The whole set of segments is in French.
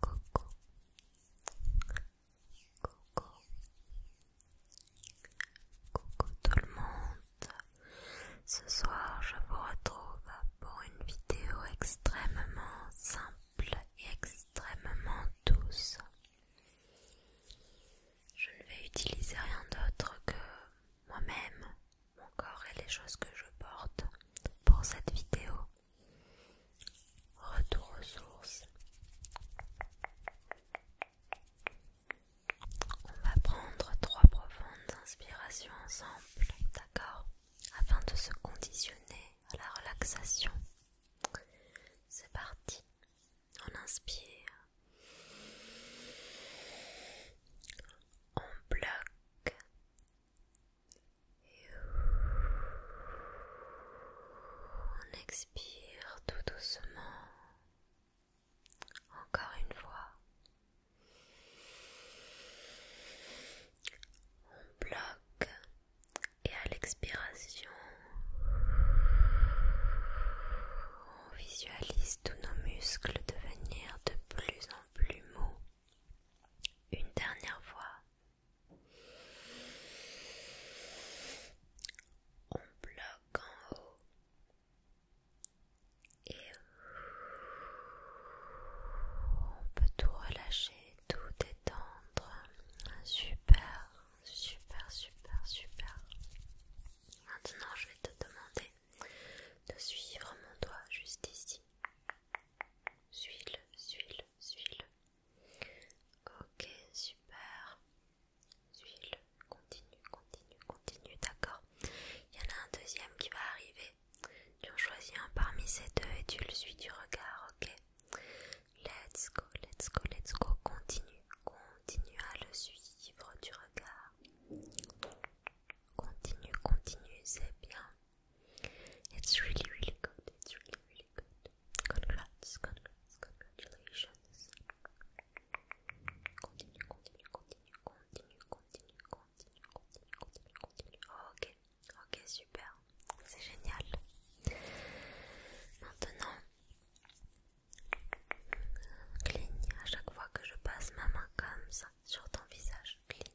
Coucou. Coucou. Coucou tout le monde. Ce soir, je vous retrouve pour une vidéo extrêmement simple et extrêmement douce. Je ne vais utiliser rien d'autre que moi-même, mon corps et les choses que je porte pour cette vidéo. Retour aux sources. On va prendre trois profondes inspirations ensemble, d'accord Afin de se conditionner à la relaxation. C'est parti. On inspire. On bloque on expire tout doucement. Encore une fois. On bloque et à l'expiration, on visualise tous nos muscles devenir de plus en plus mous. Une dernière fois. On bloque en haut et on peut tout relâcher, tout détendre. Super, super, super, super. Maintenant, je vais te demander de suivre mon doigt juste ici. Suis-le, suis-le, suis-le. Ok, super. Suis-le. Continue, continue, continue, d'accord. Il y en a un deuxième qui va arriver. Tu choisis un parmi ces deux et tu le suis du regard, ok Let's go, let's go, let's go. Continue, continue à le suivre du regard. Continue, continue, c'est bien. It's really, really good. It's really, really good. Congrats, congrats, congratulations. Continue, continue, continue, continue, continue, continue, continue, continue, continue. Oh, ok, ok, super. C'est génial. Maintenant, cligne à chaque fois que je passe ma main comme ça sur ton visage. Cligne,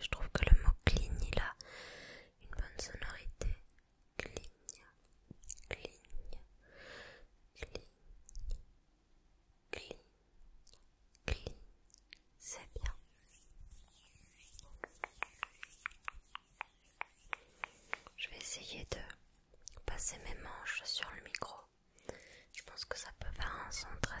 Je trouve que le mot cligne il a une bonne sonorité. cligne, cligne, cligne, cligne. C'est bien. Je vais essayer de passer mes manches sur le micro. Je pense que ça peut faire un son très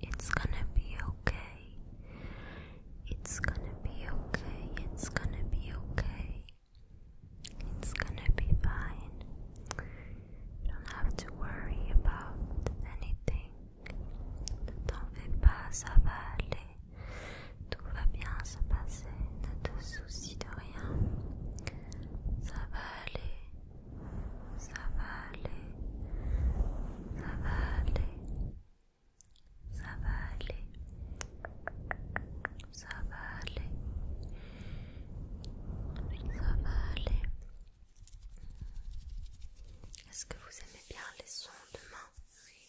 It's gonna be okay. It's gonna be okay. It's gonna be okay. It's gonna be fine. You don't have to worry about anything. Ne t'en fais pas, ça va aller. Tout va bien se passer. Ne te soucie de rien. Ça va aller. ça va aller, ça va aller, ça va aller, ça va aller, ça va aller. Est-ce que vous aimez bien les sons de main, les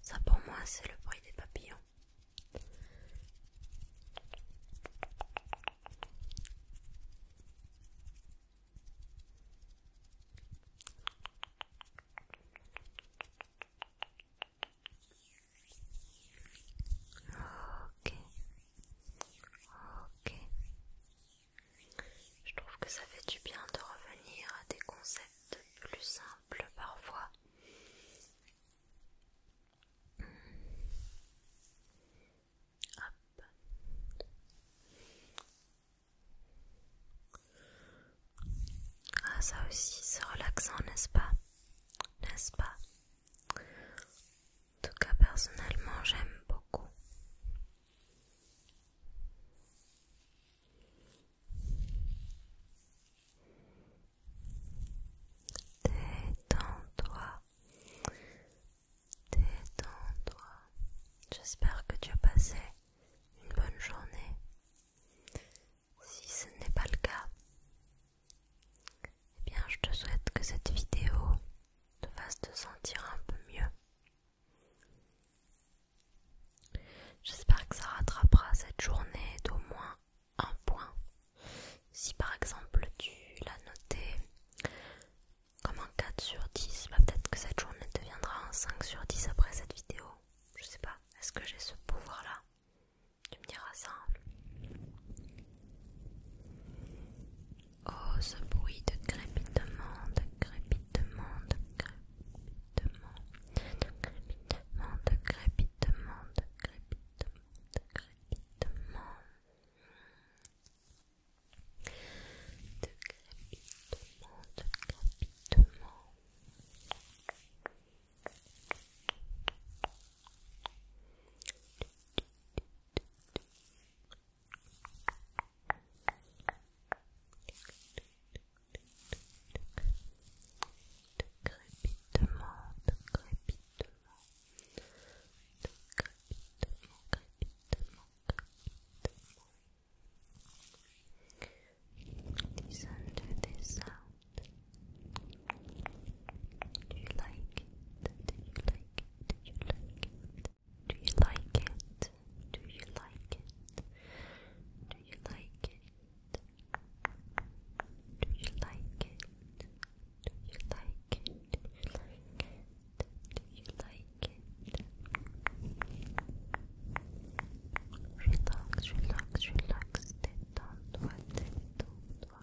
Ça pour moi c'est le bruit des papillons. Ok, je trouve que ça fait du bien de revenir à des concepts plus simples parfois. Ah ça aussi c'est relaxant n'est-ce pas N'est-ce pas En tout cas personnellement j'aime beaucoup. Détends-toi. Détends-toi. J'espère que tu as passé une bonne journée. Si ce n'est pas le cas, eh bien je te souhaite que cette vidéo te fasse te sentir un peu mieux J'espère que ça rattrapera cette journée d'au moins un point. Si par exemple tu l'as noté comme en 4 sur 10, bah, peut-être que cette journée deviendra en 5 sur 10 après cette vidéo. Je sais pas, est-ce que j'ai ce pouvoir là Tu me diras ça. Oh, ce bruit de crépitement, de crépitement, de crépitement crépitement, de crépitement, de de crépitement, de crépitement, crépitement, de crépitement, de crépitement, crépitement, Do you like it? Do you like it? Do you like it? Do you like it? Do you like it? Do you like it? Do you like it? Do you like it? Do you like it? Do you like it? Relax, relax, relax. Détends-toi, détends-toi.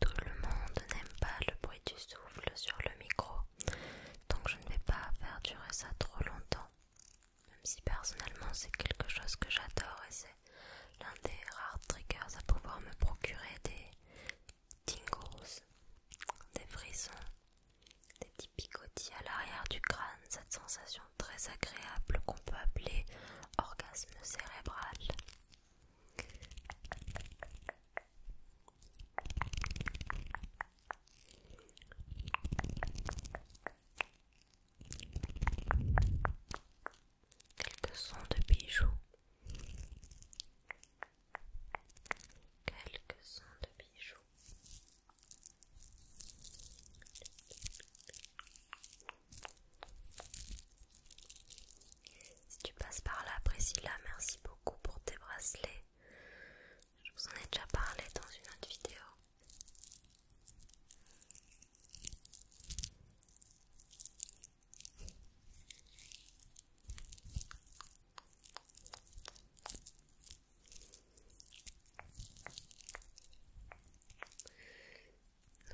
Tout le monde n'aime pas le bruit du souffle sur le micro, donc je ne vais pas faire durer ça trop longtemps. Même si personnellement c'est quelque chose que j'adore et c'est l'un des rares triggers à pouvoir me procurer des tingles, des frissons, des petits picotis à l'arrière du crâne, cette sensation très agréable qu'on peut appeler orgasme cérébral. Quelques sons de bijoux. Quelques sons de bijoux. Si tu passes par là, Priscilla, merci beaucoup pour tes bracelets. Je vous en ai déjà parlé dans une autre vidéo.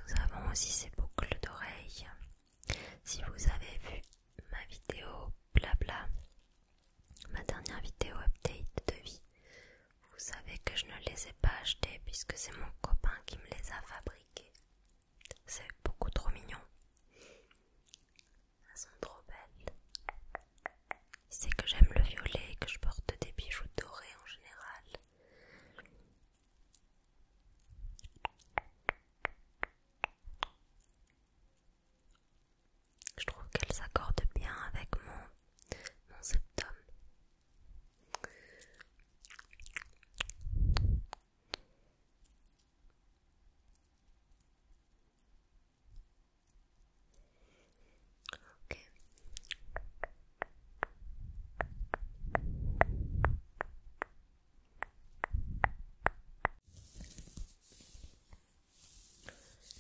Nous avons aussi ces boucles d'oreilles si vous avez vu ma vidéo blabla, ma dernière vidéo update de vie, vous savez que je ne les ai pas achetées puisque c'est mon copain qui me les a fabriquées. C'est beaucoup trop mignon. Elles sont trop belles. C'est que j'aime le violet et que je porte des bijoux dorés en général. Je trouve qu'elle s'accorde bien avec mon, septum.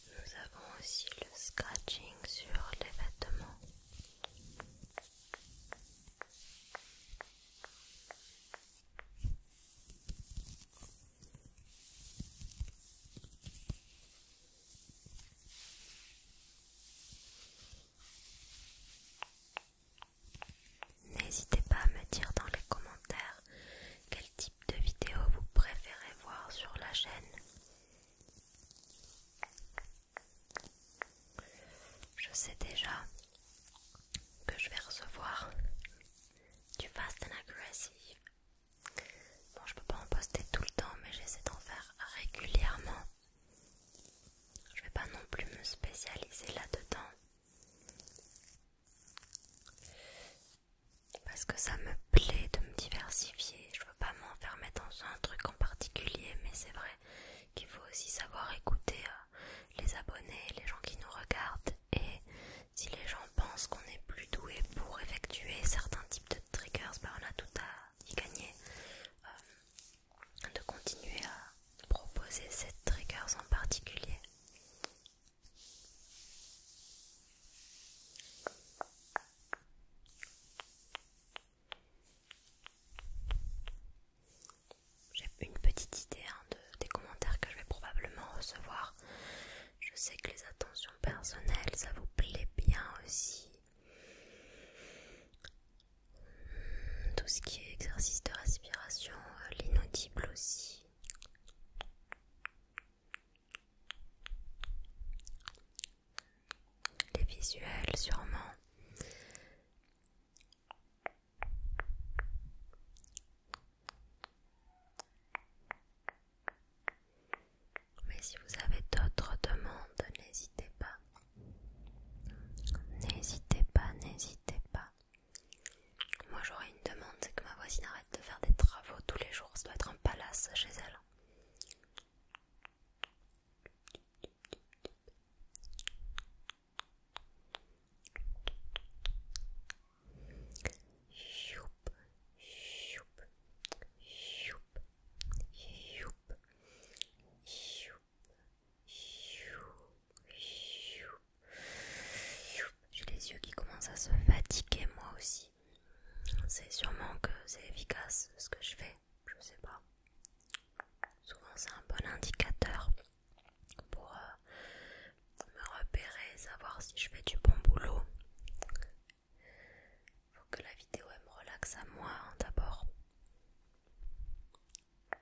Nous avons aussi le scratching sur les vêtements. N'hésitez pas à me dire dans les commentaires quel type de vidéo vous préférez voir sur la chaîne. Je sais déjà que je vais recevoir du fast and aggressive. Bon, je peux pas en poster tout le temps, mais j'essaie d'en faire régulièrement. Je vais pas non plus me spécialiser là-dedans. Parce que ça me plaît de me diversifier. Je veux pas m'enfermer dans un truc en particulier, mais c'est vrai qu'il faut aussi savoir écouter euh, les abonnés, les gens qui nous regardent. Et si les gens pensent qu'on est plus doué pour effectuer certains types de triggers, ben on a tout à y gagner. Euh, de continuer à proposer cette trigger en particulier. J'ai une petite idée hein, des commentaires que je vais probablement recevoir. Je sais que les attentions personnelles, ça vous plaît bien aussi tout ce qui est exercice de respiration, euh, l'inaudible aussi. Les visuels sûrement. Mais si vous avez d'autres demandes, n'hésitez pas. N'hésitez pas, n'hésitez pas. Moi j'aurais une demande, c'est que ma voisine arrête de faire des travaux tous les jours, ça doit être un palace chez elle. J'ai les yeux qui commencent à se fatiguer moi aussi. C'est sûrement que c'est efficace ce que je fais, je sais pas. Souvent c'est un bon indicateur pour euh, me repérer, savoir si je fais du bon boulot. Faut que la vidéo me relaxe à moi hein, d'abord.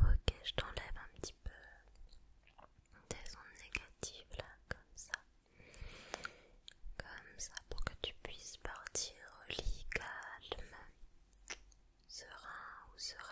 Ok, je t'enlève un petit peu des ondes négatives là, comme ça. Comme ça pour que tu puisses partir au calme, serein ou sereine.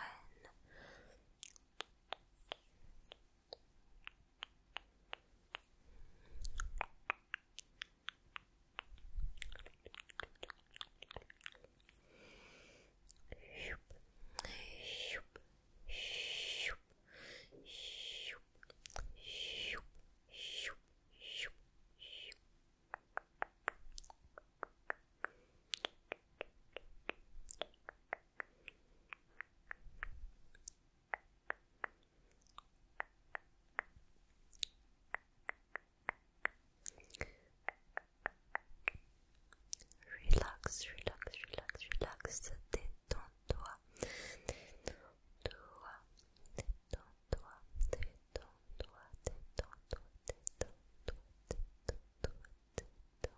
Relax, relax, relax, relax, détends-toi, detends detends Détends-toi, détends-toi, toi détends-toi, toi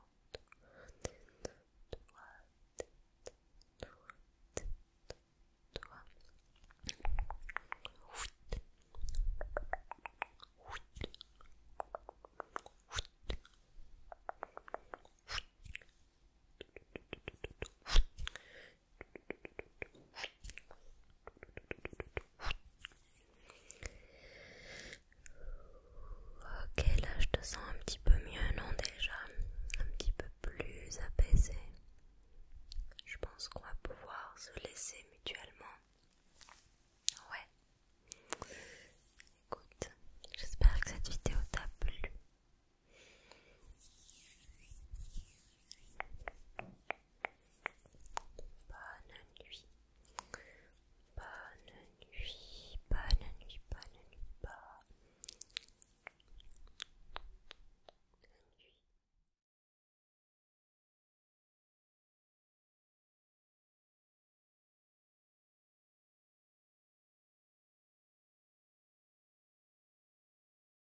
Ok, là je te sens un petit peu mieux, non déjà Un petit peu plus apaisé. Je pense qu'on va pouvoir se laisser mutuellement. Ouais. Écoute, j'espère que cette vidéo t'a plu. Bonne nuit. Bonne nuit. nuit. nuit.